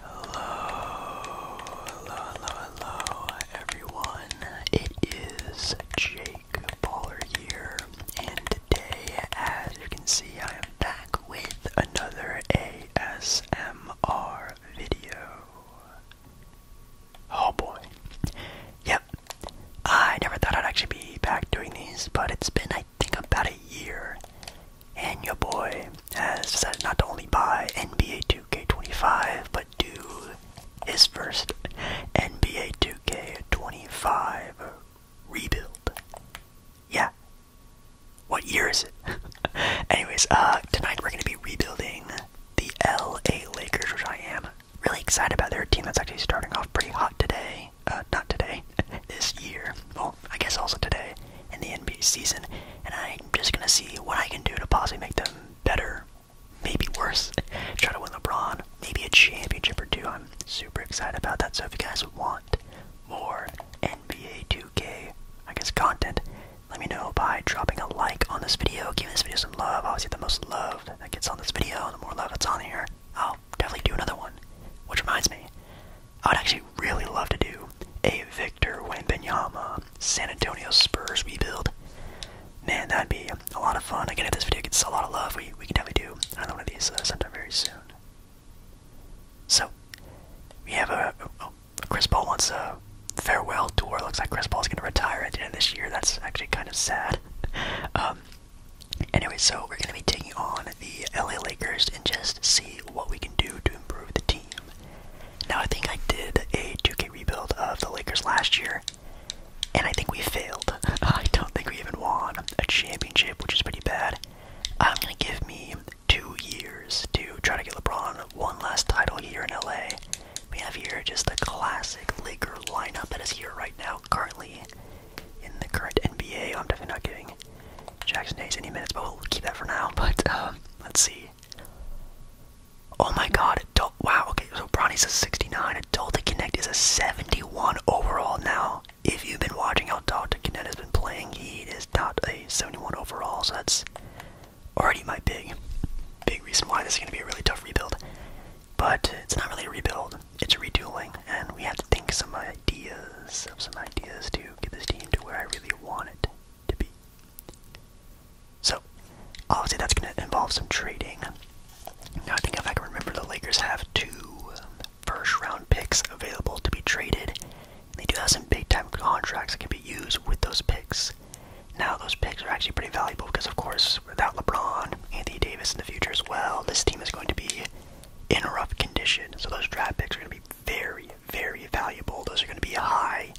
Hello, hello, hello, everyone. It is Jake Baller here, and today, as you can see, I am back with another ASMR video. Oh boy. Yep. I never thought I'd actually be back doing these, but it's been, I think, about a year. And your boy has decided not to only buy NBA 2K25, but do his first NBA 2K25 rebuild. Yeah. What year is it? Anyways, uh, tonight we're going to be rebuilding the LA Lakers, which I am really excited about. They're a team that's actually starting off pretty hot today. Uh, not today, this year. Well, I guess also today in the NBA season, and I'm just gonna see what I can do to possibly make them better, maybe worse. Try to win LeBron, maybe a championship or two. I'm super excited about that. So if you guys want more NBA 2K, I guess content, let me know by dropping a like on this video, Give this video some love. Obviously, the most love that gets on this video, the more love that's on here, I'll definitely do another one. Which reminds me, I would actually really love to do a Victor Wembanyama San Antonio Spurs rebuild. Man, that'd be a lot of fun. Again, if this video gets a lot of love, we, we can definitely do another one of these uh, sometime very soon. So, we have a, Chris Paul wants a farewell tour. Looks like Chris Paul's going to retire at the end of this year. That's actually kind of sad. Um, anyway, so we're going to be taking on the LA Lakers and just see what we can do to improve the team. Now, I think I did a 2K rebuild of the Lakers last year, and I think we failed. I don't think we even won a championship, which is pretty bad. I'm gonna give me two years to try to get LeBron one last title here in LA. We have here just the classic Laker lineup that is here right now, currently in the current NBA. I'm definitely not giving Jackson Hayes any minutes, but we'll keep that for now. But um, let's see. Oh my God! Adult, wow. Okay, so Bronny says 69. Adult Connect is a 71 overall now. If you've been watching how Doctor Connect has been playing, he is not a 71 overall. So that's already my big, big reason why this is going to be a really tough rebuild. But it's not really a rebuild; it's a redoing, and we have to think some ideas of some ideas to get this team to where I really want it to be. So, obviously, that's going to involve some trading. Now, I think if I can remember, the Lakers have two um, first round picks available to be traded. They do have some big time contracts that can be used with those picks. Now, those picks are actually pretty valuable because, of course, without LeBron, Anthony Davis in the future as well, this team is going to be in a rough condition. So, those draft picks are going to be very, very valuable. Those are going to be high,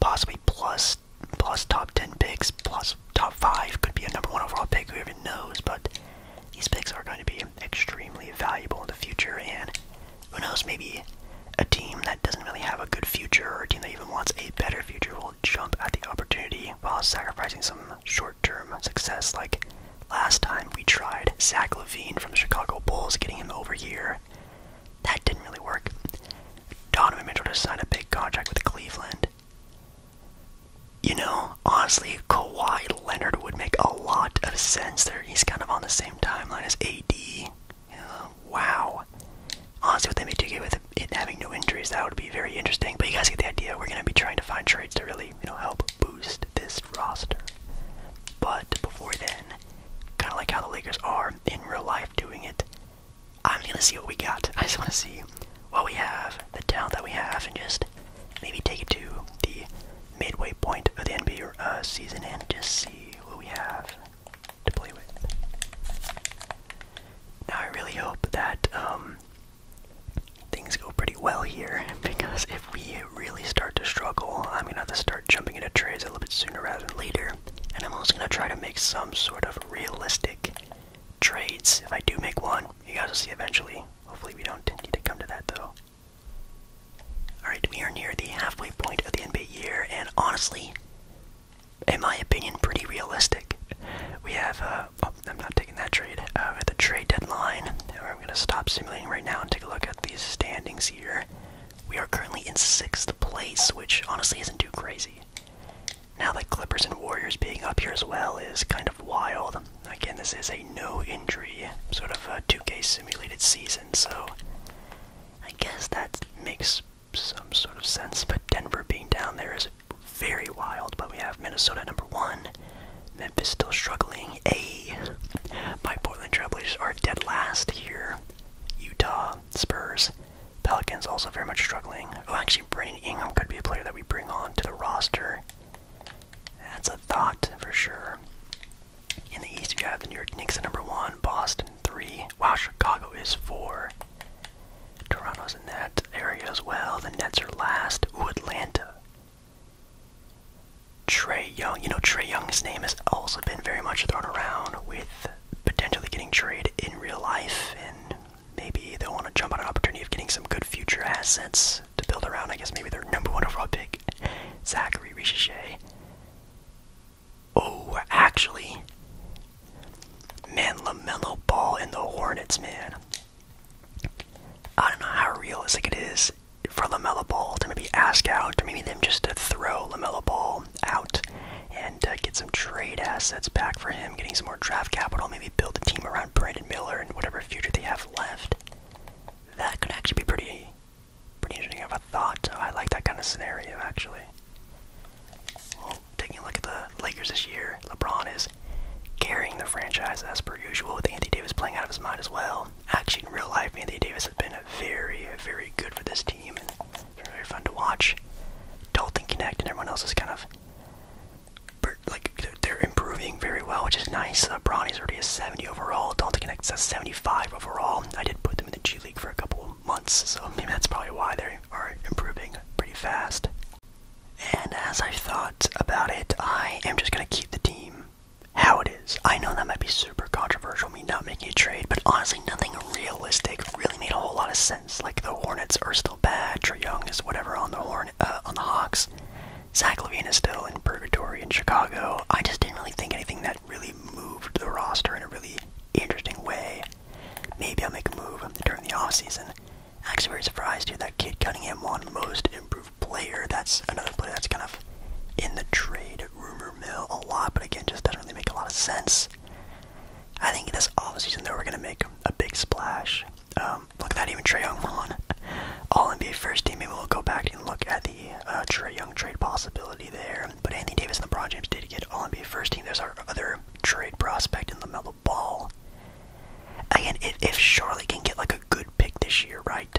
possibly plus plus top 10 picks, plus top 5 could be a number 1 overall pick, who even knows, but these picks are going to be extremely valuable in the future, and who knows, maybe a team that doesn't really have a good future, or a team that even wants a better future, will jump at the opportunity while sacrificing some short-term success like last time we tried Zach Levine from the Chicago Bulls, getting him over here. That didn't really work. Donovan Mitchell just signed a big contract with Cleveland. You know, honestly, Kawhi Leonard would make a lot of sense there. He's kind of on the same timeline as AD. wow. Honestly, what they may do with it having no injuries, that would be very interesting. But you guys get the idea. We're going to be trying to find trades to really, you know, help boost this roster. But before then, kind of like how the Lakers are in real life doing it, I'm gonna see what we got. I just want to see what we have, the talent that we have, and just maybe take it to the midway point of the NBA uh, season and just see what we have to play with. Now I really hope that um, things go pretty well here because if we really start to struggle, I'm gonna have to start jumping into trades a little bit sooner rather than later. And I'm also going to try to make some sort of realistic trades. If I do make one, you guys will see eventually. Hopefully, we don't need to come to that though. Alright, we are near the halfway point of the NBA year, and honestly, in my opinion, pretty realistic. We have, uh, oh, I'm not taking that trade, uh, at the trade deadline. I'm going to stop simulating right now and take a look at these standings here. We are currently in sixth place, which honestly isn't too crazy. Now the Clippers and Warriors being up here as well is kind of wild. Again, this is a no injury sort of a 2K simulated season, so I guess that makes some sort of sense. But Denver being down there is very wild. But we have Minnesota number one, Memphis still struggling, a. My Portland Trailblazers are dead last here. Utah, Spurs, Pelicans also very much struggling. Oh, actually, Brandon Ingram could be a player that we bring on to the roster. That's a thought for sure. In the East, you have the New York Knicks at number one, Boston three. Wow, Chicago is four. Toronto's in that area as well. The Nets are last. Ooh, Atlanta. Trey Young. You know, Trey Young's name has also been very much thrown around with potentially getting traded in real life, and maybe they'll want to jump on an opportunity of getting some good future assets to build around. I guess maybe their number one overall pick, Zachary Richichet. Oh, actually, man, LaMelo Ball in the Hornets, man. I don't know how realistic it is for Lamella Ball to maybe ask out, or maybe them just to throw Lamella Ball out and uh, get some trade assets back for him, getting some more draft capital, maybe build a team around Brandon Miller and whatever future they have left. That could actually be pretty, pretty interesting Have a thought. I like that kind of scenario actually. Well, taking a look at the Lakers this year, LeBron is carrying the franchise as per usual with Anthony Davis playing out of his mind as well. Actually, in real life, Anthony Davis has been very, very good for this team very fun to watch. Dalton Connect and everyone else is kind of like they're improving very well, which is nice. Uh, already a 70 overall. Dalton Connect's a 75 overall. I did put them in the G League for a couple months, so maybe that's probably why they are improving pretty fast. And as I thought about it, I am just gonna keep the team how it is. I know that might be super controversial, me not making a trade, but honestly, nothing realistic really made a whole lot of sense. Like the Hornets are still bad, Trey Young is whatever on the Horn uh, on the Hawks. Zach Levine is still in purgatory in Chicago. I just didn't really think anything that really moved the roster in a really interesting way. Maybe I'll make a move during the off season. Actually, very surprised, to hear That kid Cunningham won most improved player. That's another player that's kind of in the trade rumor mill a lot, but again, just doesn't really make a lot of sense. I think this offseason, though, we're going to make a big splash. Um, look at that, even Trey Young on All NBA first team. Maybe we'll go back and look at the uh, Trey Young trade possibility there. But Anthony Davis and LeBron James did get All NBA first team. There's our other trade prospect in the mellow Ball. Again, if, if Charlotte can get like a good pick this year, right?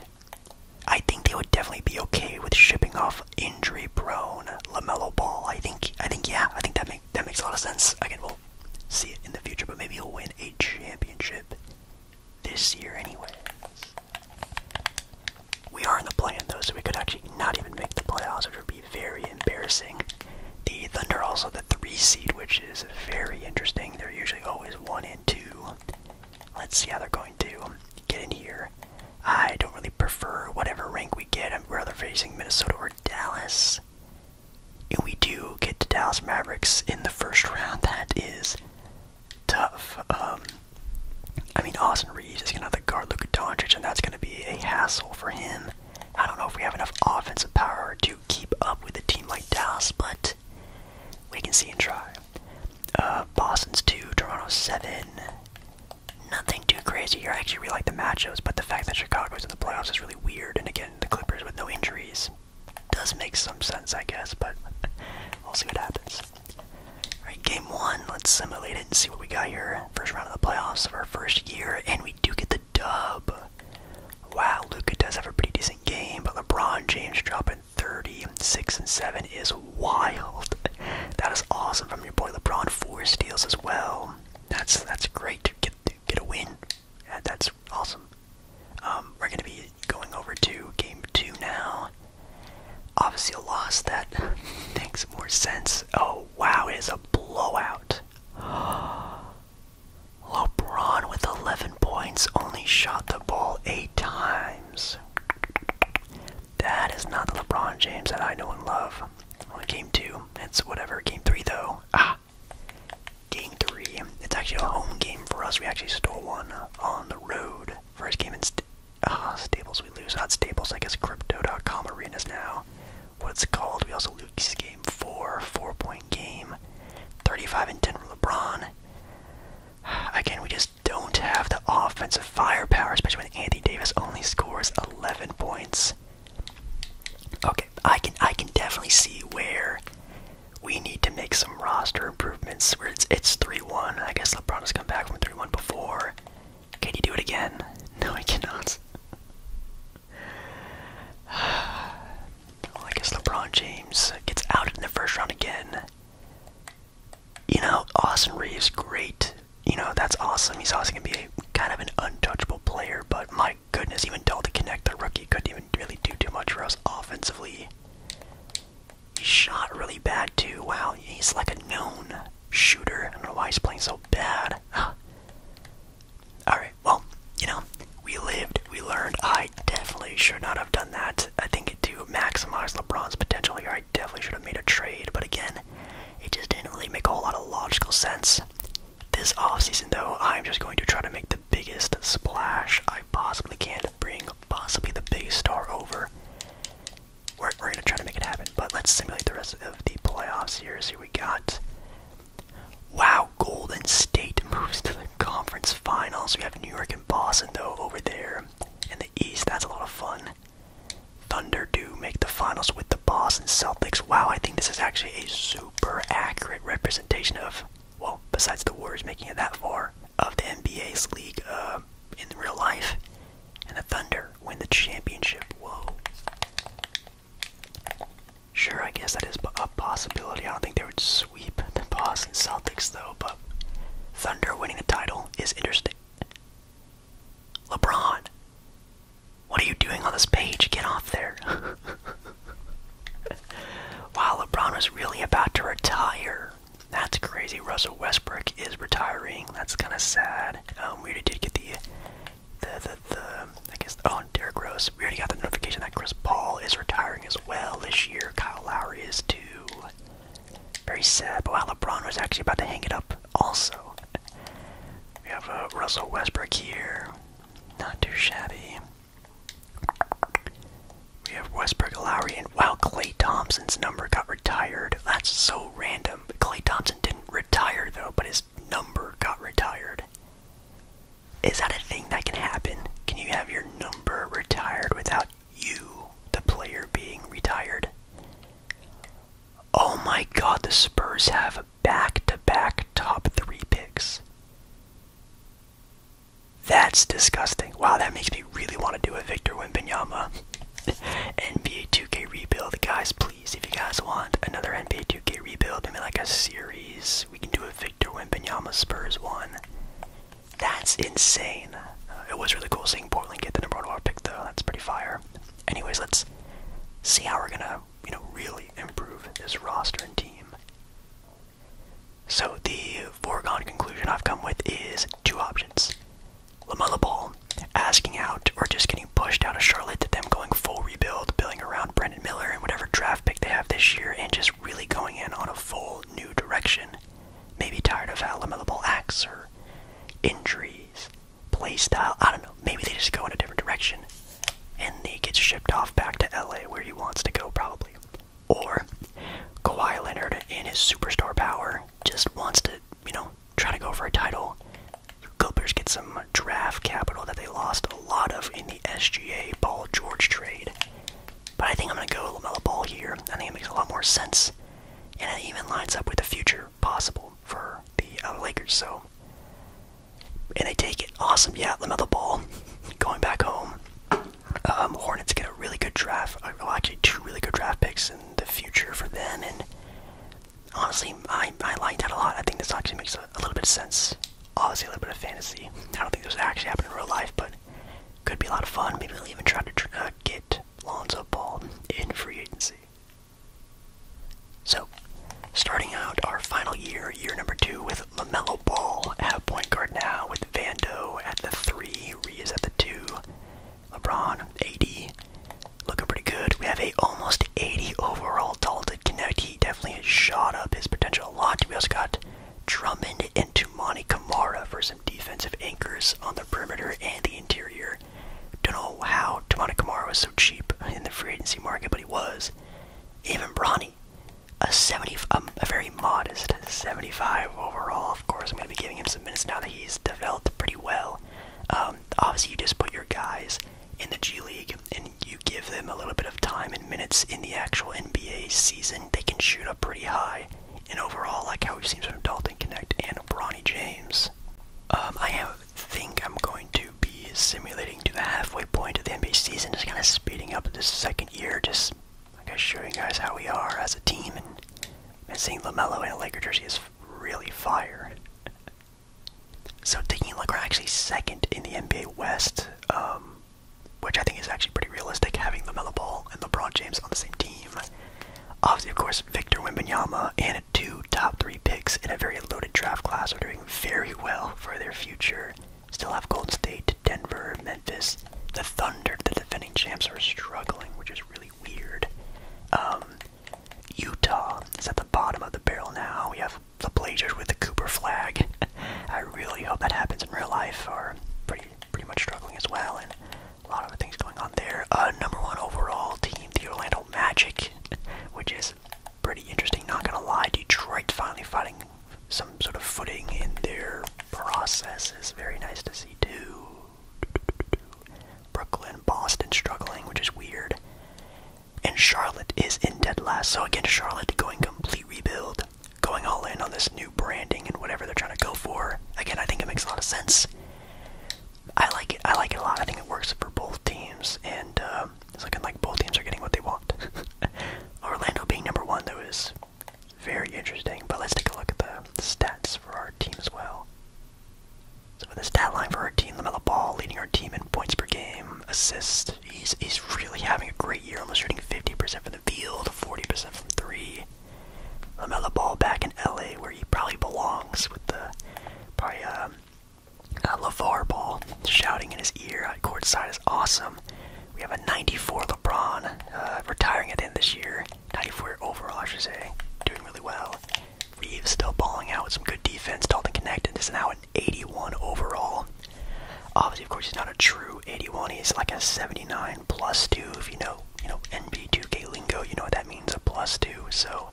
I think they would definitely be okay with shipping off injury-prone Lamelo Ball. I think, I think, yeah, I think that make that makes a lot of sense. Again, we'll see it in the future, but maybe he'll win a championship this year anyway. We are in the play-in though, so we could actually not even make the playoffs, which would be very embarrassing. The Thunder also the three seed, which is very interesting. They're usually always one and two. Let's see how they're going to get in here. I don't really prefer whatever rank we get. I'm rather facing Minnesota or Dallas. If we do get to Dallas Mavericks in the first round, that is tough. Um, I mean, Austin Reeves is going to have to guard Luka Doncic, and that's going to be a hassle for him. I don't know if we have enough offensive power to keep up with a team like Dallas, but we can see and try. Uh, Boston's two, Toronto seven. Nothing too crazy here. I actually really like the matchups, but the fact that Chicago's in the playoffs is really weird. And again, the Clippers with no injuries does make some sense, I guess. But we'll see what happens. All right, game one. Let's simulate it and see what we got here. First round of the playoffs of our first year, and we do get the dub. Wow, Luca does have a pretty decent game, but LeBron James dropping 30, 6 and 7 is wild. That is awesome from your boy LeBron. Four steals as well. That's that's great to get get a win. that's awesome. Um, we're gonna be going over to game two now. Obviously a loss that makes more sense. Oh wow, it is a blowout. LeBron with 11 points only shot the ball eight times. That is not the LeBron James that I know and love. Only game two. It's whatever. Game three, though. Ah! Game three. It's actually a home game for us. We actually stole one on the road. First game in ah, Stables we lose. Not Stables, I guess Crypto.com Arenas now. What's it's called. We also lose game four. Four point game. 35 and 10 from LeBron. Again, we just don't have the offensive firepower, especially when Anthony Davis only scores 11 points. Okay, I can I can definitely see where we need to make some roster improvements. Where it's it's 3-1. I guess LeBron has come back from 3-1 before. Can you do it again? No, he cannot. well, I guess LeBron James gets out in the first round again you know, Austin Reeves, great. You know, that's awesome. He's also going to be a, kind of an untouchable player, but my goodness, even Dalton Connect, the rookie, couldn't even really do too much for us offensively. He shot really bad, too. Wow, he's like a known shooter. I don't know why he's playing so bad. Alright, well, you know, we lived, we learned. I definitely should not have done that. I think to maximize LeBron's potential here, I definitely should have made a trade, but again, it just didn't really make a whole lot of logical sense. This off-season though, I'm just going to try to make the biggest splash I possibly can bring possibly the biggest star over. We're, we're going to try to make it happen, but let's simulate the rest of the playoffs here. So we got. Wow, Golden State moves to the conference finals. We have New York and Boston, though, over there. In the East, that's a lot of fun. Thunder do make the finals with the Boston Celtics. Wow, I think this is actually a super accurate representation of, well, besides the Warriors making it that far, of the NBA's league uh, in real life. And the Thunder win the championship. Whoa. Sure, I guess that is a possibility. I don't think they would sweep the Boston Celtics, though, but Thunder winning the title is interesting. LeBron, what are you doing on this page? Get off there. While LeBron is really about to retire. That's crazy. Russell Westbrook is retiring. That's kind of sad. Um, we already did get the, the, the, the, I guess, oh, Derrick Rose. We already got the notification that Chris Paul is retiring as well this year. Kyle Lowry is too. Very sad, but wow, LeBron was actually about to hang it up also. We have uh, Russell Westbrook here. Not too shabby. We have Westbrook, Lowry, and while Clay Thompson's number got retired. That's so random. Clay Thompson didn't retire though, but his number got retired. Is that a thing that can happen? Can you have your number retired without you, the player, being retired. Oh my god, the Spurs have back to back top three picks. That's disgusting. Wow, that makes me really want to do a Victor Wimbanyama NBA 2K rebuild. Guys, please, if you guys want another NBA 2K rebuild, maybe like a series, we can do a Victor Wimbanyama Spurs one. That's insane. Uh, it was really cool seeing Portland get the number one overall pick, though. That's pretty fire. Anyways, let's see how we're gonna, you know, really improve this roster and team. So the foregone conclusion I've come with is two options: Lamella Ball asking out or just getting pushed out of Charlotte to them going full rebuild, building around Brendan Miller and whatever draft pick they have this year, and just really going in on a full new direction. Maybe tired of how acts or injuries, play style. I don't know. Maybe they just go in a different direction and he gets shipped off back to LA where he wants to go, probably. Or Kawhi Leonard, in his superstar power, just wants to, you know, try to go for a title. Clippers get some draft capital that they lost a lot of in the SGA Ball George trade. But I think I'm going to go Lamella Ball here. I think it makes a lot more sense. And it even lines up with the future possible for the uh, Lakers. So, And they take it. Awesome. Yeah, LaMelo Ball going back home. Um, Hornets get a really good draft. Uh, well, actually, two really good draft picks in the future for them. And honestly, I, I like that a lot. I think this actually makes a, little bit of sense. Obviously, a little bit of fantasy. I don't think this actually happened in real life, but could be a lot of fun. Maybe we'll even try to uh, get Lonzo Ball in free agency. So, starting out our final year, year number two, with LaMelo Ball at point guard now, with Vando at the three, Reeves at the two, LeBron, AD, looking pretty good. We have a almost 80 overall talented Connect. He definitely has shot up his potential a lot. We also got Drummond into Monty Kamara for defensive anchors on the perimeter and the interior. Don't know how Tamana Kamara was so cheap in the free agency market, but he was. Even Bronny, a 70, um, a very modest 75 overall. Of course, I'm going to be giving him some minutes now that he's developed pretty well. Um, obviously, you just put your guys in the G League and you give them a little bit of time and minutes in the actual NBA season. They can shoot up pretty high and overall, like how we've seen from Dalton Connect and Bronny James, um, I think I'm going to be simulating to the halfway point of the NBA season, just kind of speeding up this second year, just like guess showing you guys how we are as a team, and, seeing Lamelo in a Lakers jersey is really fire. so taking a look, we're actually second in the NBA West. Um, which I think is actually pretty realistic, having the Lamelo Ball and LeBron James on the same team. Obviously, of course, Victor Wimbanyama and two top three picks in a very loaded draft class are doing very well for their future. Still have Golden State, Denver, Memphis, the Thunder, the defending champs are struggling, which is really weird. Um, Utah is at the bottom of the barrel now. We have the Blazers with the Cooper flag. I really hope that happens in real life, or pretty pretty much struggling as well, and a lot of things going on there. Uh, number one overall team, the Orlando Magic, which is pretty interesting. Not gonna lie, Detroit finally finding some sort of footing in their process is very nice to see too. Brooklyn, Boston struggling, which is weird. And Charlotte is in dead last. So again, Charlotte going complete rebuild going all in on this new branding and whatever they're trying to go for. Again, I think it makes a lot of sense. I like it. I like it a lot. I think it works for both teams, and um, it's looking like both teams are getting what they want. Orlando being number one, though, is very interesting. But let's take a look at the stats for our team as well. So for the stat line for our team, Lamella Ball leading our team in points per game, assists. He's he's really having a great year, almost shooting 50% from the field, 40% from three. Lamella Ball back in LA, where he probably belongs, with the probably um, LeVar Ball shouting in his ear on court side is awesome. We have a 94 LeBron uh, retiring at the end this year, 94 overall, I should say, doing really well. Reeves still balling out with some good defense. Dalton Connected is now an 81 overall. Obviously, of course, he's not a true 81 is like a 79 plus 2. If you know, you know, NB2K lingo, you know what that means, a plus 2. So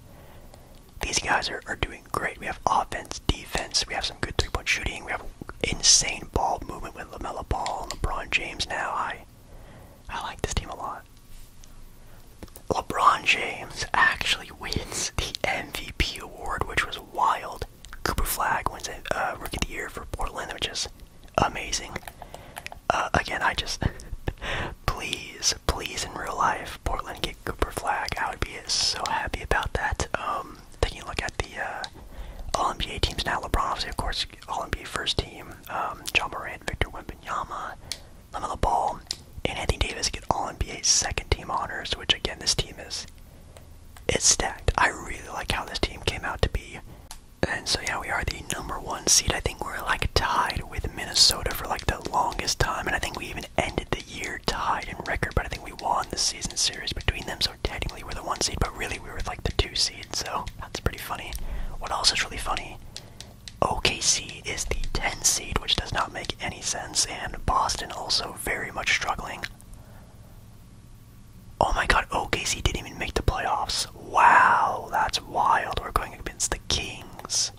these guys are, doing great. We have offense, defense, we have some good three-point shooting, we have insane ball movement with LaMelo Ball and LeBron James now. I, I like this team a lot. LeBron James actually wins the MVP award, which was wild. Cooper Flag wins it, uh, Rookie of the Year for Portland, which is amazing. Uh, again, I just please, please in real life, Portland get Cooper Flag. I would be so happy about that. Um, taking a look at the uh, All NBA teams now, LeBron, obviously, of course, All NBA first team. Um, John Morant, Victor Wembanyama, Lamelo Ball, and Anthony Davis get All NBA second team honors. Which again, this team is it's stacked. I really like how this team came out to be. And so yeah, we are the number one seed. I think we're like tied with Minnesota for like the longest time, and I think we even ended the year tied in record. But I think we won the season series between them, so technically we're the one seed. But really, we were like the two seed, so that's pretty funny. What else is really funny? OKC is the 10 seed, which does not make any sense, and Boston also very much struggling. Oh my god, OKC didn't even make the playoffs. Wow, that's wild. We're going against the Kings.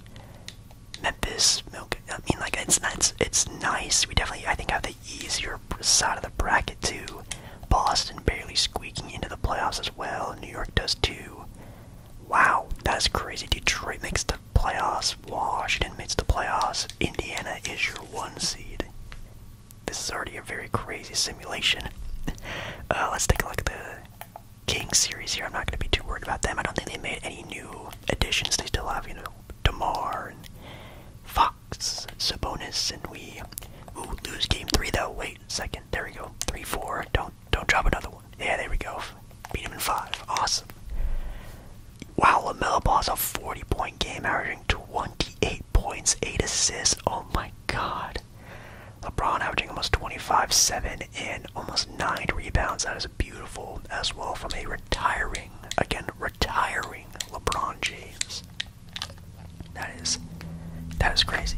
Memphis, I mean, like it's it's, it's nice. We definitely, I think, have the easier side of the bracket too. Boston barely squeaking into the playoffs as well. New York does too. Wow, that is crazy. Detroit makes the playoffs. Washington makes the playoffs. Indiana is your one seed. This is already a very crazy simulation. Uh, let's take a look at the King series here. I'm not going to be too worried about them. I don't think they made any new additions. They still have, you know, Damar and Fox, Sabonis, and we ooh, lose game three though. Wait a second. There we go. Three, four. Don't don't drop another one. Yeah, there we go. Beat him in five. Awesome. Wow, Lamelo Ball's a 40-point game, averaging 28 points, eight assists. Oh my god. LeBron averaging almost 25, 7, and almost 9 rebounds. That is beautiful as well from a retiring, again, retiring LeBron James. That is, that is crazy.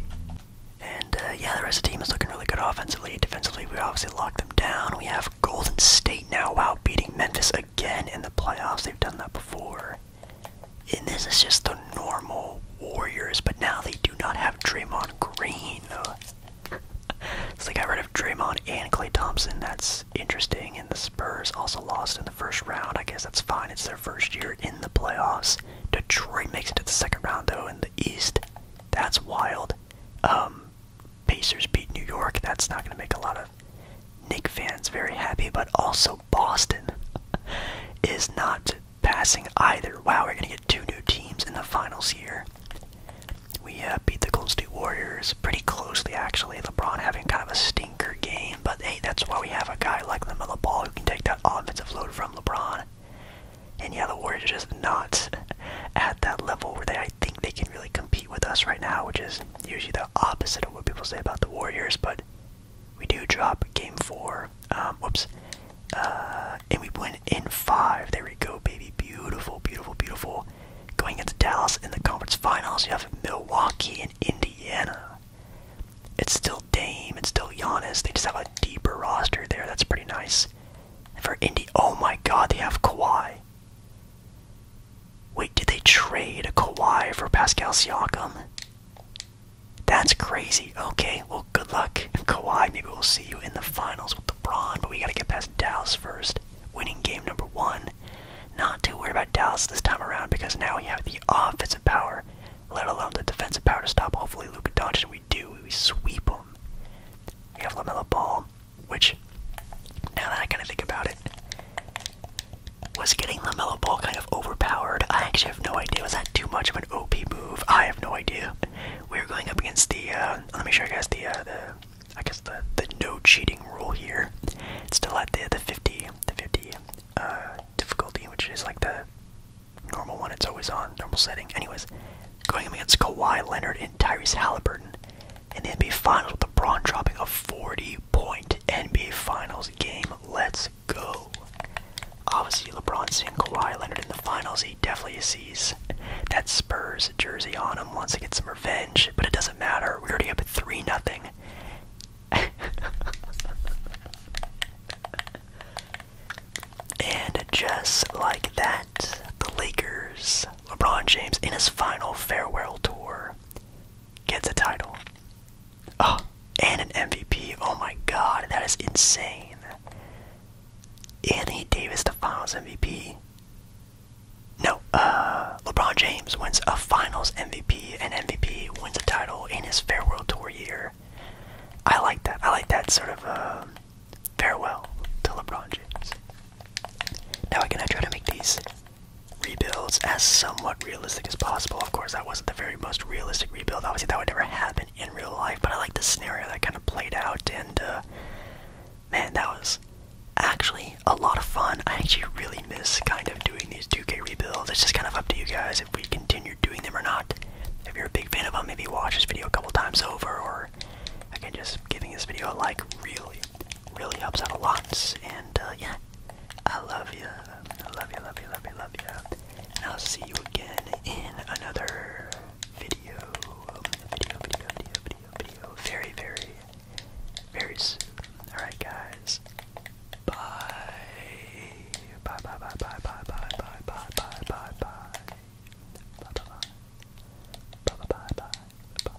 And uh, yeah, the rest of the team is looking really good offensively. Defensively, we obviously lock them down. We have Golden State now, wow, beating Memphis again in the playoffs. They've done that before. And this is just the normal Warriors, but now they do not have Draymond Green. so they got rid of Draymond and Clay Thompson. That's interesting. And the Spurs also lost in the first round. I guess that's fine. It's their first year in the playoffs. Detroit makes it to the second round though in the East. That's wild. Um, Pacers beat New York. That's not going to make a lot of Nick fans very happy, but also Boston is not passing either. Wow, we're going to get two new teams in the finals here. We uh, beat the Golden State Warriors pretty closely, actually. LeBron having kind of a stinker game, but hey, that's why we have a guy like LaMelo Ball who can take that offensive load from LeBron. And yeah, the Warriors are just not at that level where they, I think they can really compete with us right now, which is usually the opposite of what people say about the Warriors, but we do drop game four. Um, whoops. Uh, and we win in five. There we go, baby. Beautiful, beautiful, beautiful. Going into Dallas in the conference finals. You have Milwaukee and Indiana. It's still Dame. It's still Giannis. They just have a deeper roster there. That's pretty nice. for Indy, oh my God, they have Kawhi. Wait, did they trade a Kawhi for Pascal Siakam? That's crazy. Okay, well, good luck, Kawhi. Maybe we'll see you in the finals with the LeBron, but we gotta get past Dallas first. Winning game number one. Not too worried about Dallas this time around because now we have the offensive power, let alone the defensive power to stop. Hopefully, Luka Doncic. We do. We sweep them. We have Lamella Ball, which now that I kind of think about it, was getting LaMelo Ball kind of overpowered. I actually have no idea. Was that too much of an OP move? I have no idea. We are going up against the, uh, let me show you guys the, uh, the, I guess the, the no cheating rule here. It's still at the, the 50, the 50, uh, difficulty, which is like the normal one. It's always on, normal setting. Anyways, going up against Kawhi Leonard and Tyrese Halliburton in the NBA Finals with LeBron dropping a 40-point NBA Finals game. Let's Obviously, LeBron seeing Kawhi Leonard in the finals, he definitely sees that Spurs jersey on him, wants to get some revenge, but it doesn't matter. We already up at 3 nothing. and just like that, the Lakers, LeBron James in his final farewell tour, gets a title. Oh, and an MVP. Oh my god, that is insane. Anthony Davis, the finals MVP. No, uh, LeBron James wins a finals MVP, and MVP wins a title in his farewell tour year. I like that. I like that sort of um, farewell to LeBron James. Now, again, I try to make these rebuilds as somewhat realistic as possible. Of course, that wasn't the very most realistic rebuild. Obviously, that would never happen in real life, but I like the scenario that kind of played out, and uh, man, that was actually a lot of fun. I actually really miss kind of doing these 2K rebuilds. It's just kind of up to you guys if we continue doing them or not. If you're a big fan of them, maybe watch this video a couple times over, or again, just giving this video a like really, really helps out a lot. And uh, yeah, I love you. I love you, love you, love you, love you. And I'll see you again in another video. Video, video, video, video, video. Very, very, very Alright, guys. Bye. Bye, bye, bye, bye, bye, bye, bye, bye, bye, bye, bye. Bye, bye, bye. Bye, bye, bye, bye. Bye.